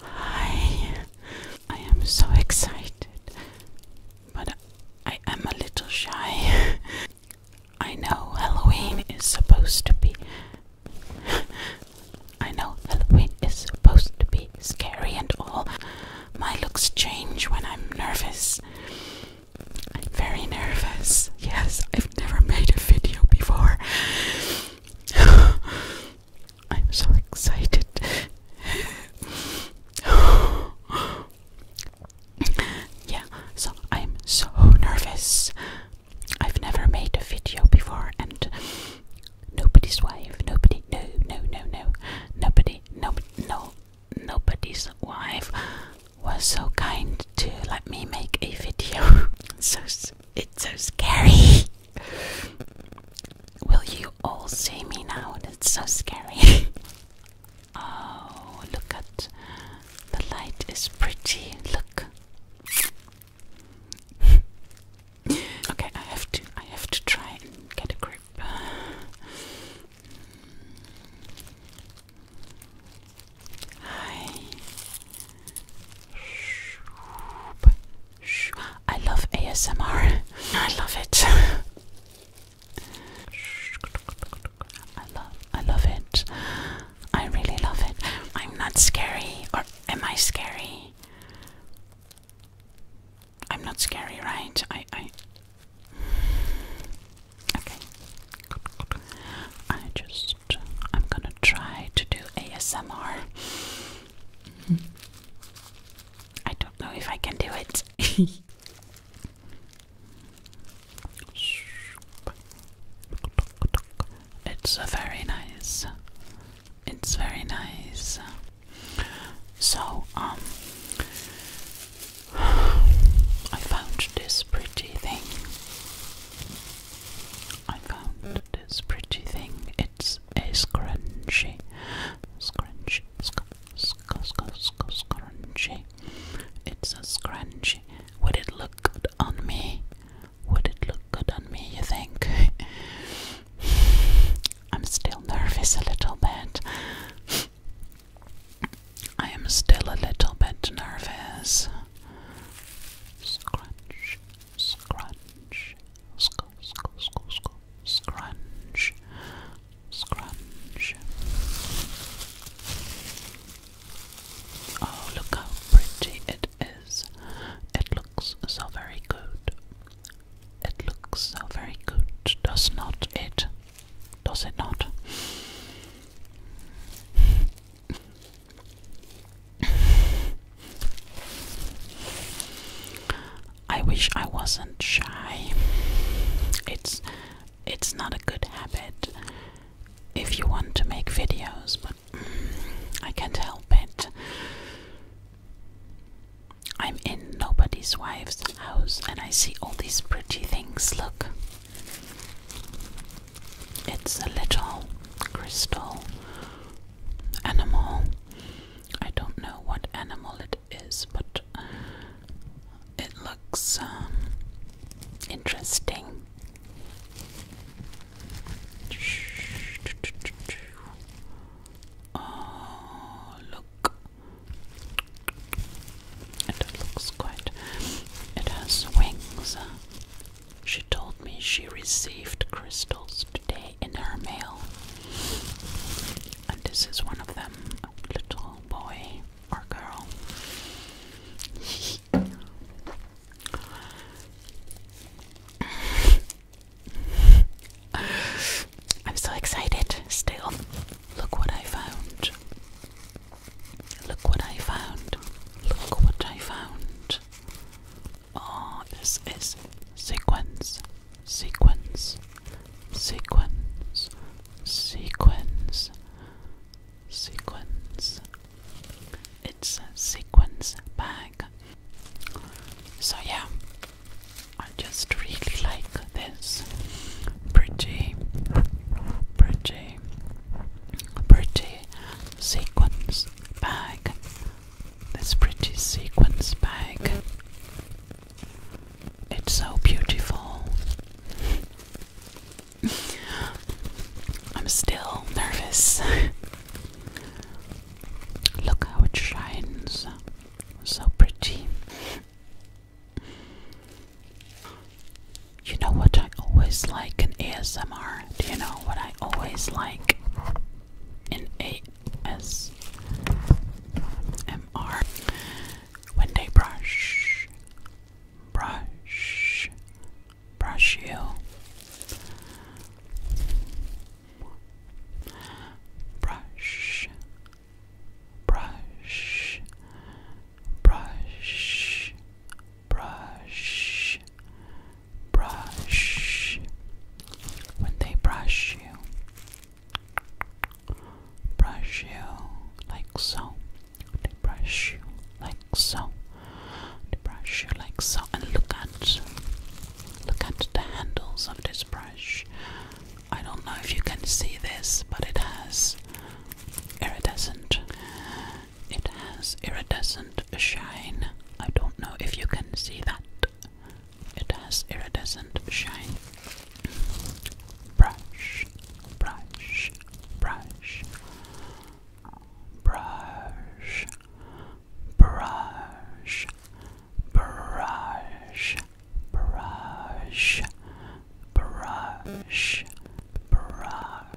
I, I am so excited, but I am a little shy. I know Halloween is supposed to be. I know Halloween is supposed to be scary and all. My looks change when I'm nervous. I'm very nervous. Yes, I've never made a video before. I'm so excited. yeah, so I'm so nervous. I've never made a video before, and nobody's wife, nobody, no, no, no, no, nobody, no, no, nobody's wife was so kind to let me make a video. so it's so scary. Will you all see me now? That's so scary. oh, look at the light is pretty. Look. okay, I have to I have to try and get a grip. Hi. I love ASMR. I love it. I love I love it. I really love it. I'm not scary or am I scary? I'm not scary, right? I I Okay. I just I'm gonna try to do ASMR. Mm-hmm. I don't know if I can do it. it's a very nice. It's very nice. So, um, I found this pretty thing. I found this pretty thing. It's a scrunchy. Scrunchy, sc sc sc sc scrunchy. It's a scrunchie. Would it look good on me? Would it look good on me, you think? I'm still nervous a little bit. I am still a little bit nervous. Scrunch, scrunch, sc sc sc sc scrunch, scrunch. Oh, look how pretty it is. It looks so very good. It looks so very good, does not it? Does it not? I wish I wasn't shy. It's it's not a good habit if you want to make videos, but I can't help it. I'm in nobody's wife's house and I see all these pretty things. Look. It's a little crystal animal. I don't know what animal it is, but it looks um, interesting. Oh, look. And it looks quite. It has wings. She told me she received crystals today in her mail. And this is one of them, little boy or girl. I'm so excited still. Look what I found. Look what I found. Look what I found. Oh, this is sequence, sequence, sequence, sequence, sequence. It's a sequence bag. So, yeah, I just really like this. Pretty, pretty, pretty sequence bag. This pretty sequence bag. It's so beautiful. I'm still nervous. Look how it shines. So pretty. You know what I always like in ASMR? Do you know what I always like in ASMR? When they brush, brush, brush you. Brush, brush, brush, brush, brush. When they brush you, brush you like so. They brush you like so. They brush you like so. And look at, look at the handles of this brush. I don't know if you can see this, but it has iridescent it has iridescent shine. I don't know if you can see that. It has iridescent shine. Brush, brush, brush, brush, brush, brush, brush, brush, brush.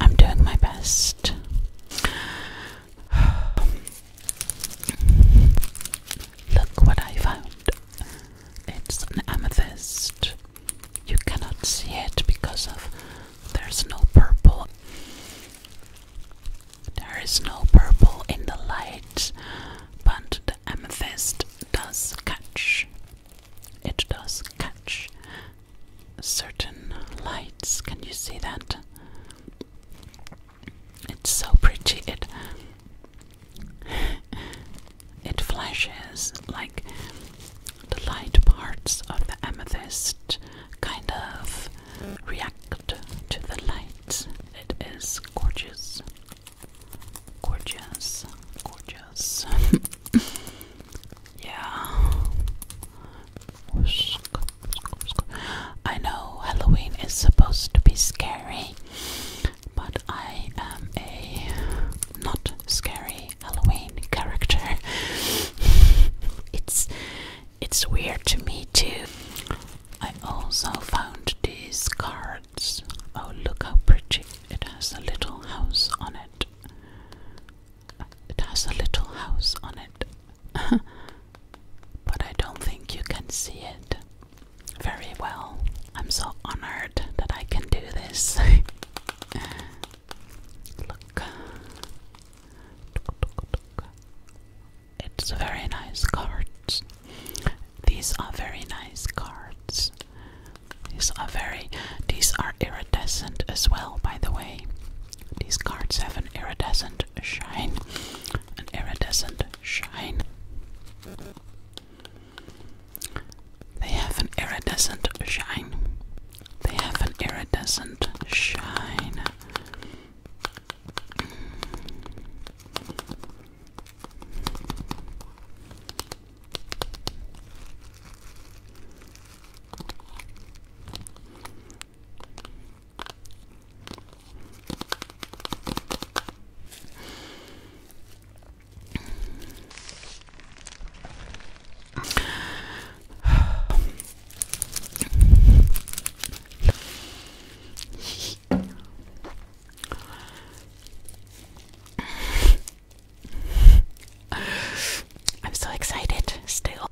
I'm doing my best. Look what I found. It's an amethyst. You cannot see it because of there's no purple. There is no purple in the light, but the amethyst does catch. It does catch certain lights. Can you see that? It's so pretty. It it flashes like the light parts of the amethyst kind of react to the light. It is gorgeous. Gorgeous. Gorgeous. yeah. I know Halloween is supposed to be scary, but I am a not scary Halloween character. it's it's weird to me too. I also found these cards. Oh, look how pretty. It has a little house on it. It has a little house on it, but I don't think you can see it very well. I'm so honored that I can do this. Look. It's very nice cards. These are very nice cards. These are very these are iridescent as well, by the way. These cards have an iridescent shine. An iridescent shine. They have an iridescent shine. They have an iridescent shine. I'm so excited still.